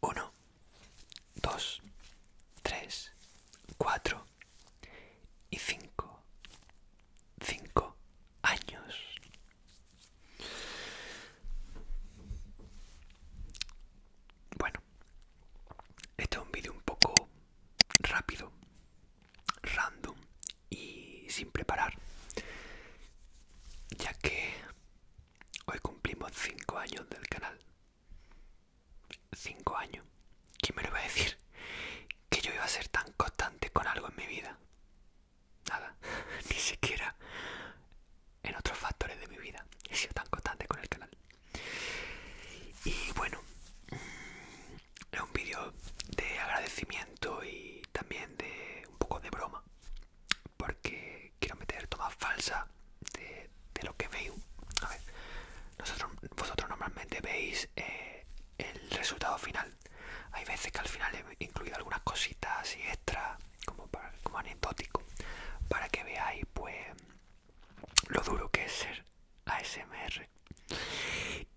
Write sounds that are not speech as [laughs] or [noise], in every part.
1, 2, 3, 4 y 5. 5 años. Bueno, este es un vídeo un poco rápido, random y sin preparar, ya que Hoy cumplimos 5 años del canal. 5 años. ¿Quién me lo iba a decir? Que yo iba a ser tan constante con algo en mi vida. Nada, [laughs] ni siquiera en otros factores de mi vida he sido tan constante con el canal. Y bueno, mm, es un vídeo de agradecimiento y también de un poco de broma porque quiero meter toma falsa de, lo que veo. A ver, nosotros, vosotros normalmente veis eh, el resultado final. Hay veces que al final he incluido algunas cositas y extra, como, como anecdótico, para que veáis pues lo duro que es ser ASMR.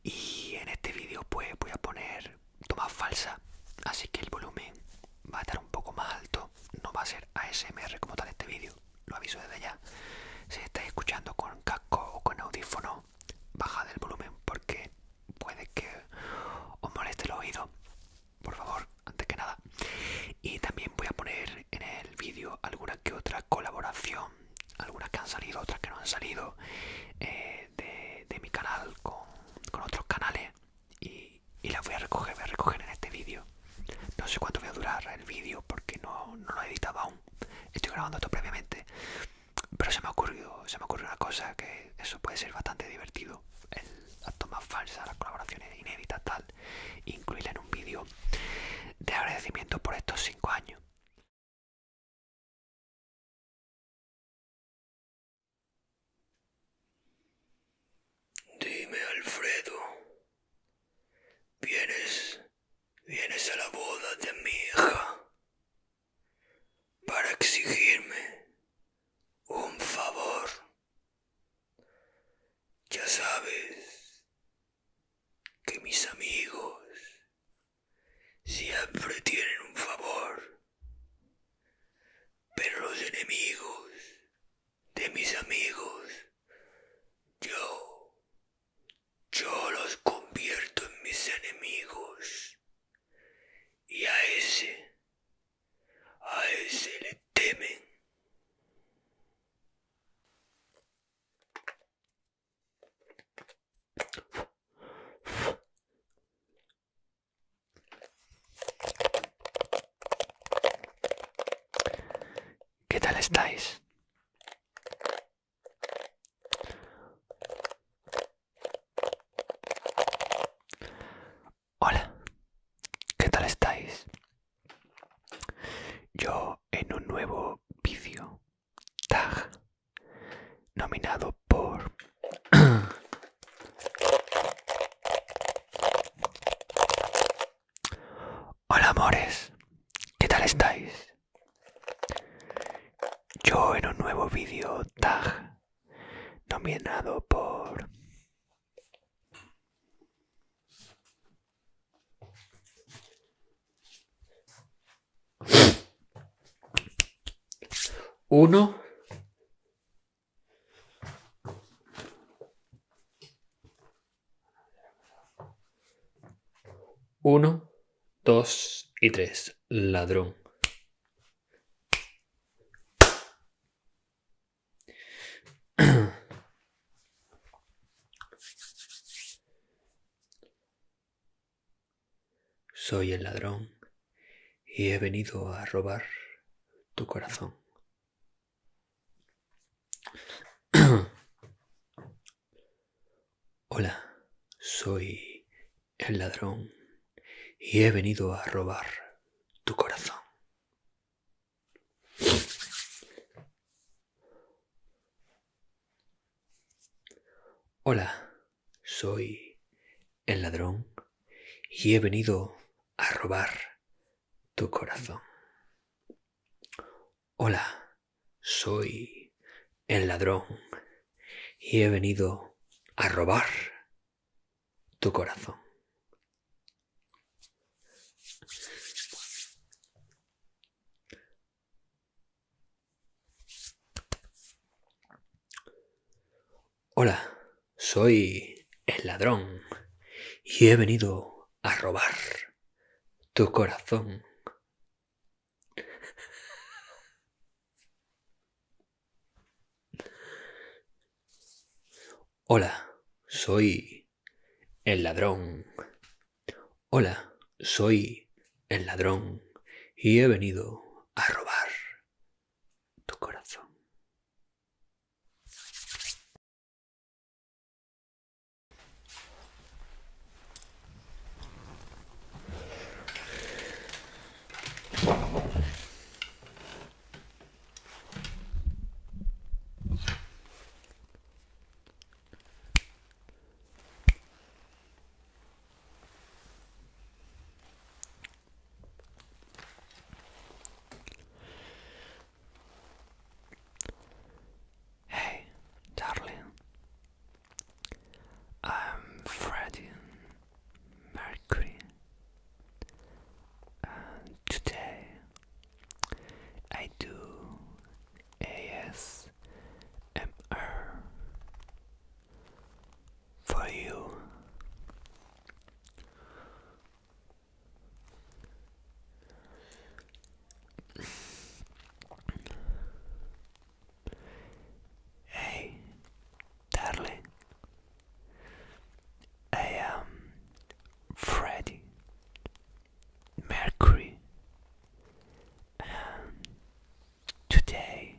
Y en este vídeo pues voy a poner toma falsa, así que el volumen va a estar un poco más alto. No va a ser ASMR como tal este vídeo, lo aviso desde ya. Si estáis escuchando con casco o con audífono, bajad el volumen porque puede que os moleste el oído. Por favor, antes que nada. Y también voy a poner en el vídeo alguna que otra colaboración, algunas que han salido, otras que no han salido, eh, de, mi canal con otros canales y, las voy a recoger, voy a recoger en este vídeo. No sé cuánto voy a durar el vídeo porque no, lo he editado aún. Estoy grabando esto previamente. Pero se me ha ocurrido, se me ocurrió una cosa que eso puede ser bastante divertido. El, las tomas falsas, las colaboraciones inéditas, tal. Incluirla en un vídeo de agradecimiento por estos 5 años. Dime, Alfredo, ¿vienes, vienes a la boda de mi hija para exigirme un favor? Ya sabes que mis amigos siempre tienen un favor pero los enemigos de mis amigos, yo, yo los convierto en mis enemigos. Y a ese, a ese le temen. ¿Qué tal estáis? Hola, ¿qué tal estáis? Yo en un nuevo vídeo, tag, nominado por [clears throat] Hola amores, ¿qué tal estáis? Yo en un nuevo vídeo tag nominado por uno 1, 2 y 3. Ladrón. Soy el ladrón y he venido a robar tu corazón. [clears throat] Hola, soy el ladrón y he venido a robar tu corazón. Hola, soy el ladrón y he venido a robar tu corazón. Hola, soy el ladrón y he venido a robar tu corazón. Hola, soy el ladrón y he venido a robar tu corazón. Hola, soy el ladrón. Hola, soy el ladrón y he venido a robar tu corazón. Hey, darling. I'm Freddie Mercury, and today I do ASMR for you. Hey, darling, I am Freddie Mercury, and today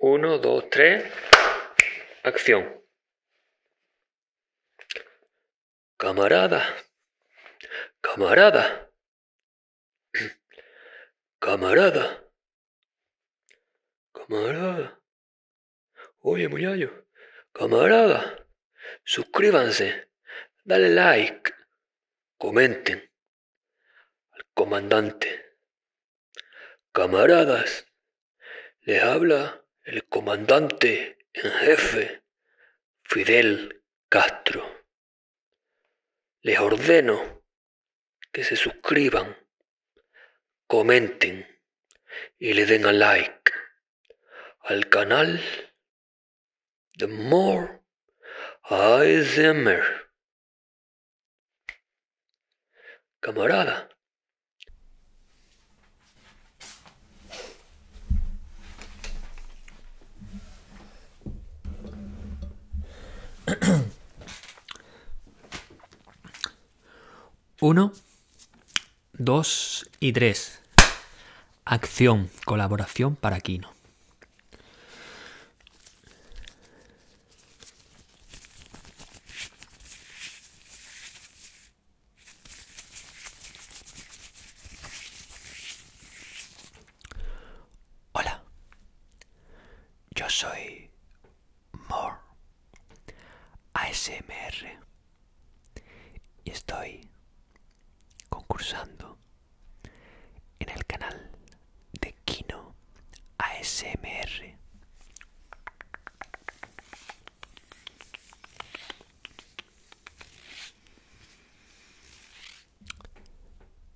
1 2 3 acción Camarada, camarada, camarada, camarada. Oye, muchacho, camarada, suscríbanse, dale like, comenten al comandante. Camaradas, les habla el comandante en jefe, Fidel Castro. Les ordeno que se suscriban, comenten y le den a like al canal The More zimmer Camarada, 1 [clears throat] 2 y 3 Acción, colaboración para Kino. Hola, yo soy More ASMR y estoy concursando en el canal de Kino ASMR.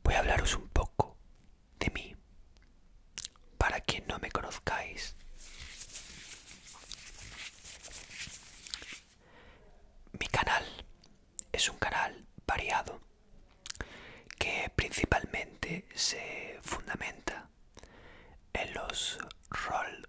Voy a hablaros un poco de mí, para quien no me conozcáis. Mi canal es un canal variado que principalmente se fundamenta en los roll.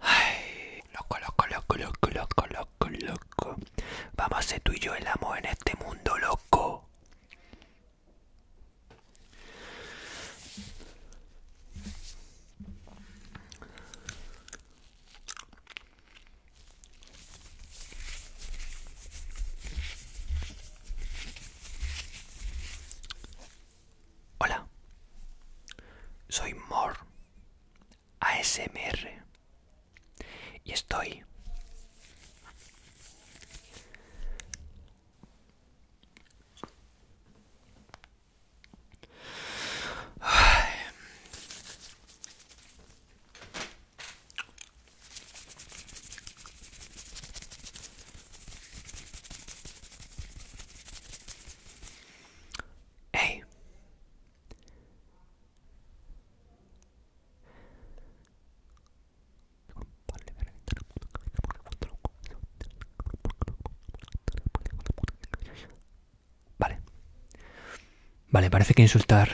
Ay, loco, loco, loco, loco, loco, loco, loco. Vamos a hacer tú y yo el amor en este mundo, loco. Hola, soy Mor. ASMR. Y estoy Hey. Vale. Vale, parece que insultar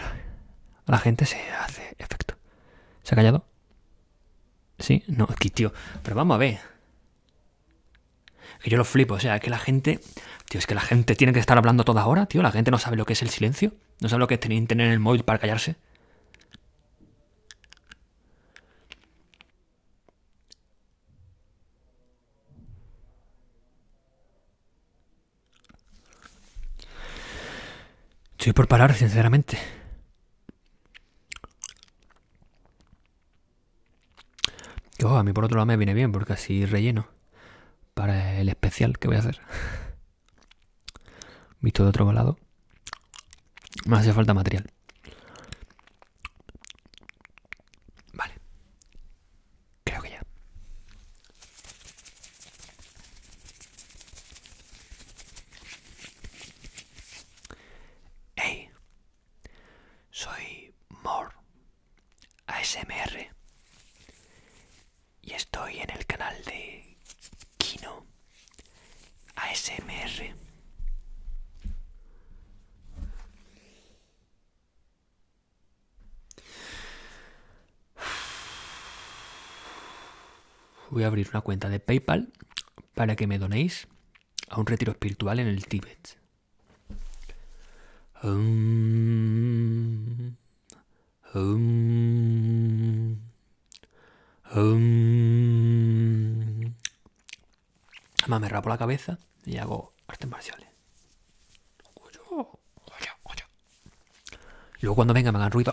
a la gente se hace efecto. ¿Se ha callado? Sí, no, [laughs] aquí, tío. Pero vamos a ver. Que yo lo flipo, o sea, que la gente, tío, es que la gente tiene que estar hablando toda hora, tío, la gente no sabe lo que es el silencio, no sabe lo que es tener el móvil para callarse. Estoy por parar, sinceramente. Oh, a mí por otro lado me viene bien porque así relleno para el especial que voy a hacer. [laughs] Visto de otro lado, me hace falta material. Vale. Creo que ya. ¡Ey! Soy More ASMR y estoy en el canal de Kino ASMR. Voy a abrir una cuenta de PayPal para que me donéis a un retiro espiritual en el Tíbet. Además me rapo la cabeza y hago artes marciales. Luego cuando venga me hagan ruido,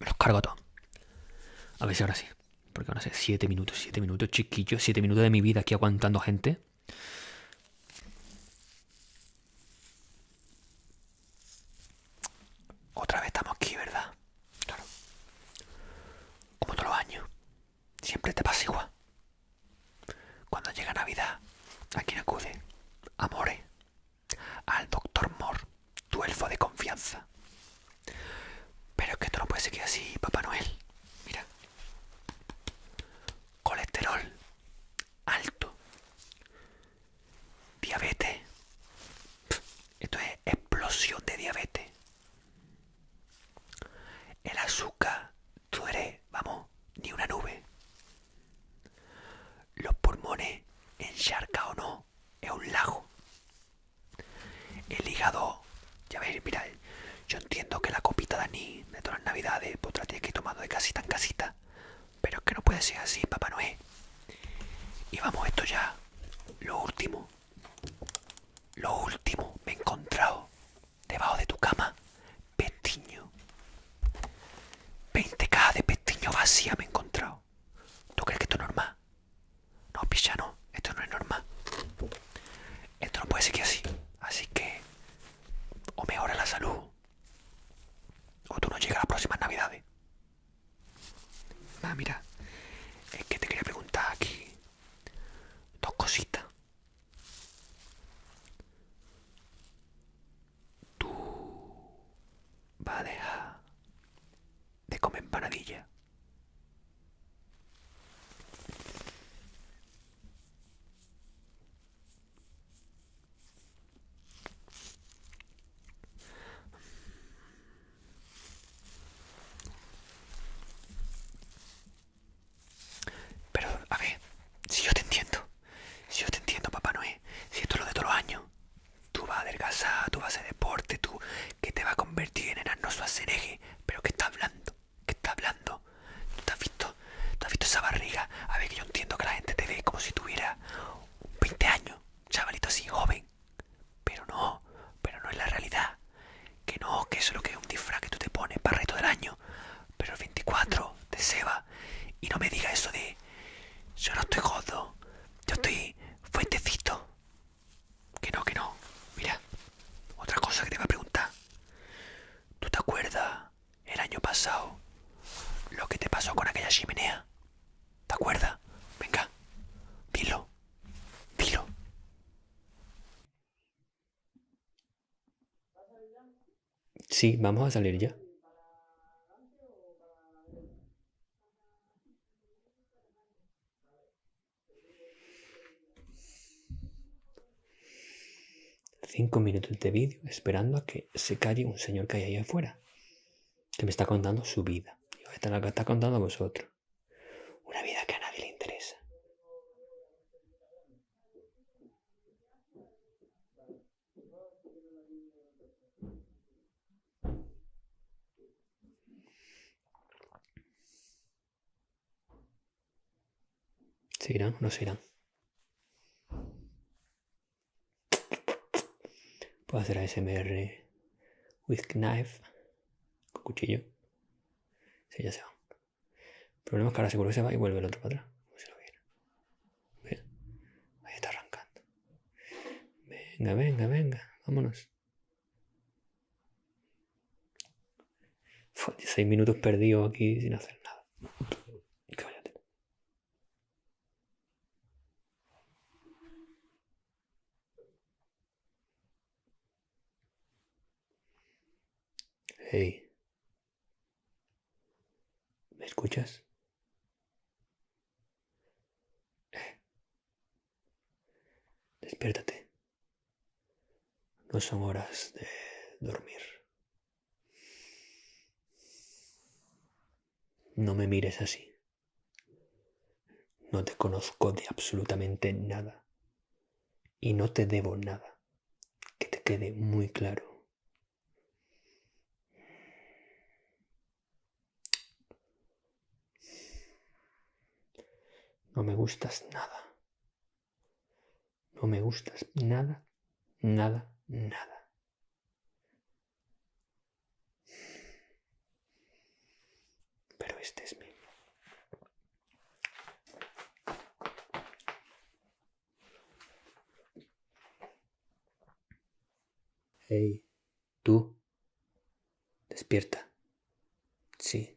me los cargo a todos. A ver si ahora sí. Porque no sé, 7 minutos, 7 minutos, chiquillos, 7 minutos de mi vida aquí aguantando gente. Otra vez estamos aquí, ¿verdad? Claro. Como todos los años. Siempre te pasa igual. Cuando llega Navidad, ¿a quién acude? Amore. Al doctor Moore, tu elfo de confianza. Pero es que esto no puede seguir así, Papá Noel. Mira. Colesterol alto. Diabetes. Esto es explosión de diabetes. El azúcar, tú eres, vamos, ni una nube. Los pulmones, encharca o no, es un lago. El hígado, ya ves, mira yo entiendo que la copita de de todas las navidades pues la tienes que ir tomando de casita en casita, pero es que no puede ser así, Papá Noel. Y vamos, esto ya, lo último, lo último, me he encontrado debajo de tu cama, pestiño. 20 cajas de pestiño vacía me he encontrado. ¿Tú crees que esto es normal? No, pichano, Esto no es normal. Esto no puede seguir así. Así que o mejora la salud o tú no llegas a las próximas navidades. Ah, mira, es que te quería preguntar aquí dos cositas. ¿Tú vas a dejar de comer empanadilla? Pero, a ver, si yo te entiendo, si yo te entiendo, Papá Noé, si esto es lo de todos los años, tú vas a adelgazar, tú vas a hacer deporte, tú que te vas a convertir en hermoso acereje ¿Pero qué está hablando? ¿Qué está hablando? ¿Tú te has visto? ¿Tú has visto esa barriga? A ver, que yo entiendo que la gente te ve como si tuviera 20 años, chavalito así, joven. Pero no, pero no es la realidad. Que no, que eso es lo que es un disfraz que tú te pones para el del año. Pero el 24 de Seba. Y no me digas eso de... Yo no estoy gordo. Yo estoy fuentecito. Que no, que no. Mira, otra cosa que te va a preguntar. ¿Tú te acuerdas el año pasado lo que te pasó con aquella chimenea? ¿Te acuerdas? Venga, dilo, dilo. Sí, vamos a salir ya. Cinco minutos de vídeo esperando a que se calle un señor que hay ahí afuera, que me está contando su vida. Y la que está contando a vosotros. Una vida que a nadie le interesa. ¿Se irá? ¿No se irá? Puedo hacer a ASMR with knife, con cuchillo. si ya se va. El problema es que ahora seguro que se va y vuelve el otro para atrás. Ahí está arrancando. Venga, venga, venga. Vámonos. Fue 16 minutos perdidos aquí sin hacer nada. Hey. ¿Me escuchas? Despiértate. No son horas de dormir. No me mires así. No te conozco de absolutamente nada. Y no te debo nada. Que te quede muy claro. No me gustas nada. No me gustas nada, nada, nada. Pero este es mío. Tú. Despierta. Sí.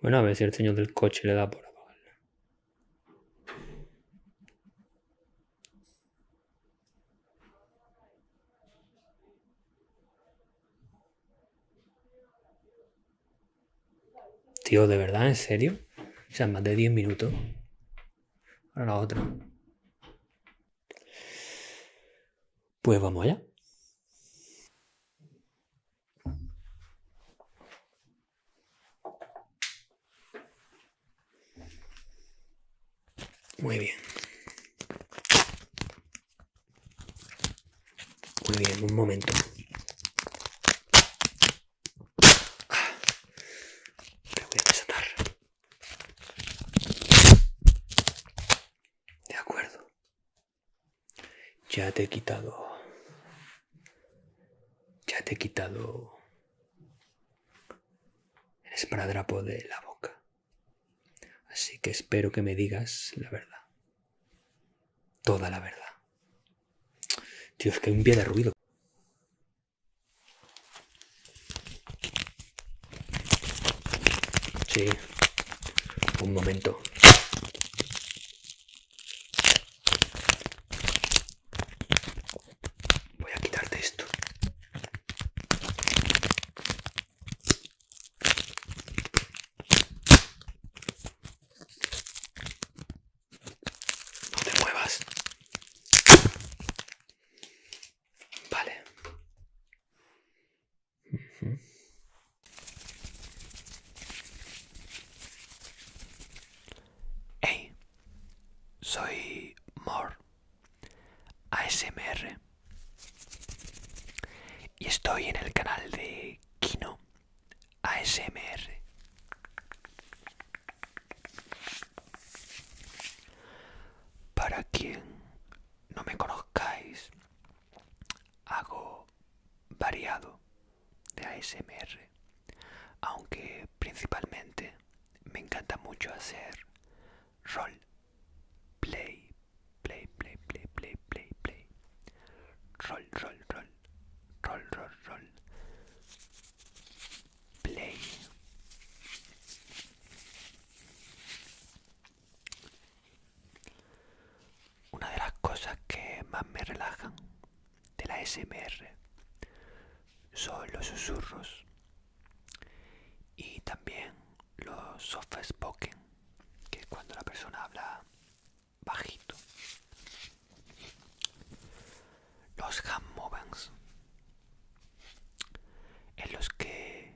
Bueno, a ver si el señor del coche le da por apagarla. Tío, ¿de verdad? ¿En serio? O sea, más de 10 minutos. Ahora la otra. Pues vamos allá. Muy bien. Muy bien, un momento. Ah, me voy a desatar. De acuerdo. Ya te he quitado. Ya te he quitado el esparadrapo de la boca. Así que espero que me digas la verdad. Toda la verdad. Dios, que hay un pie de ruido. Sí, un momento. Voy a quitarte esto. No te muevas. Vale. Hey, soy Mor ASMR y estoy en el canal de Kino ASMR. Para quien no me conozcáis, hago variado de ASMR, aunque principalmente me encanta mucho hacer roll play, play, play, play, play, play, play, roll roll roll roll roll. roll play. Una de las cosas que más me relajan de la SMR son los susurros y también los soft spoken, que es cuando la persona habla bajito los handmovens en los que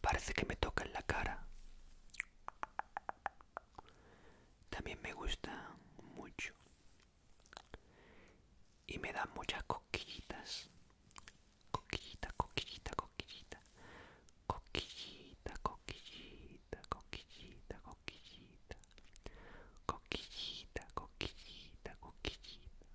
parece que me tocan la cara también me gustan mucho y me dan muchas coquillitas coquita coquillita coquillita coquillita coquillita coquillita coquillita coquillita, coquillita, coquillita.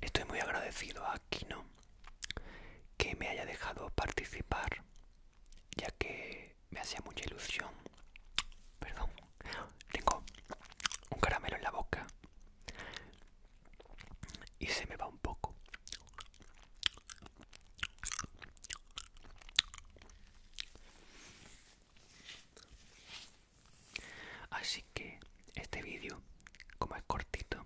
Estoy muy agradecido a Kino que me haya dejado participar, ya que me hacía mucha ilusión. Perdón, tengo un caramelo en la boca y se me va un poco así que este vídeo como es cortito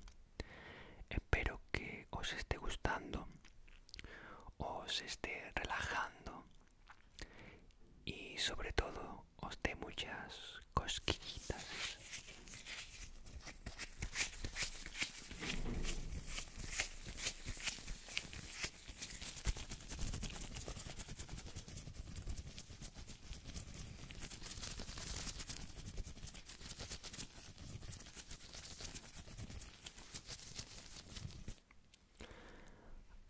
espero que os esté gustando os esté relajando y sobre todo os de muchas cosquillitas.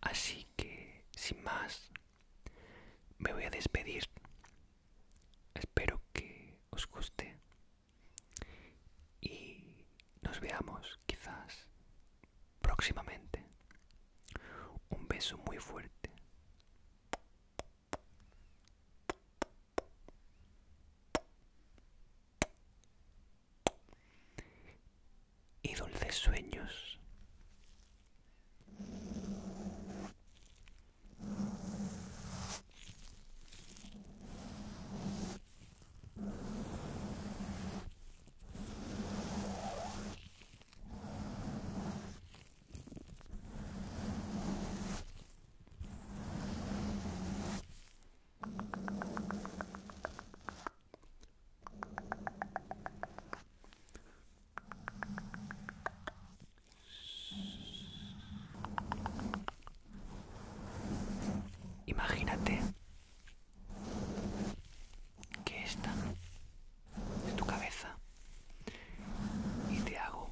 Así que, sin más, me voy a despedir. Espero que os guste y nos veamos quizás próximamente. Un beso muy fuerte y dulces sueños. Imagínate que esta es tu cabeza y te hago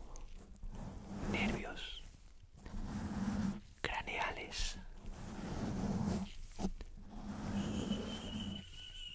nervios craneales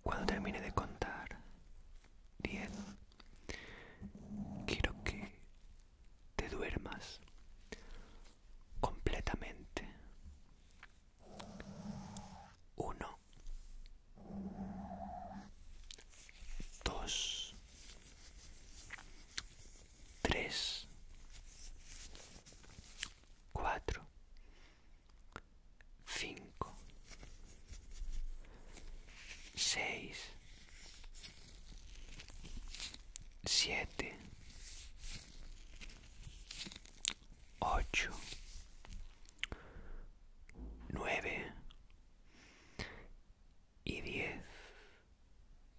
Cuando termine de contar 10, quiero que te duermas completamente. Uno. Dos. Tres. Cuatro. Cinco. Seis siete, ocho, nueve y diez.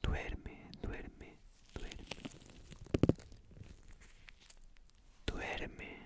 Duerme, duerme, duerme. Duerme.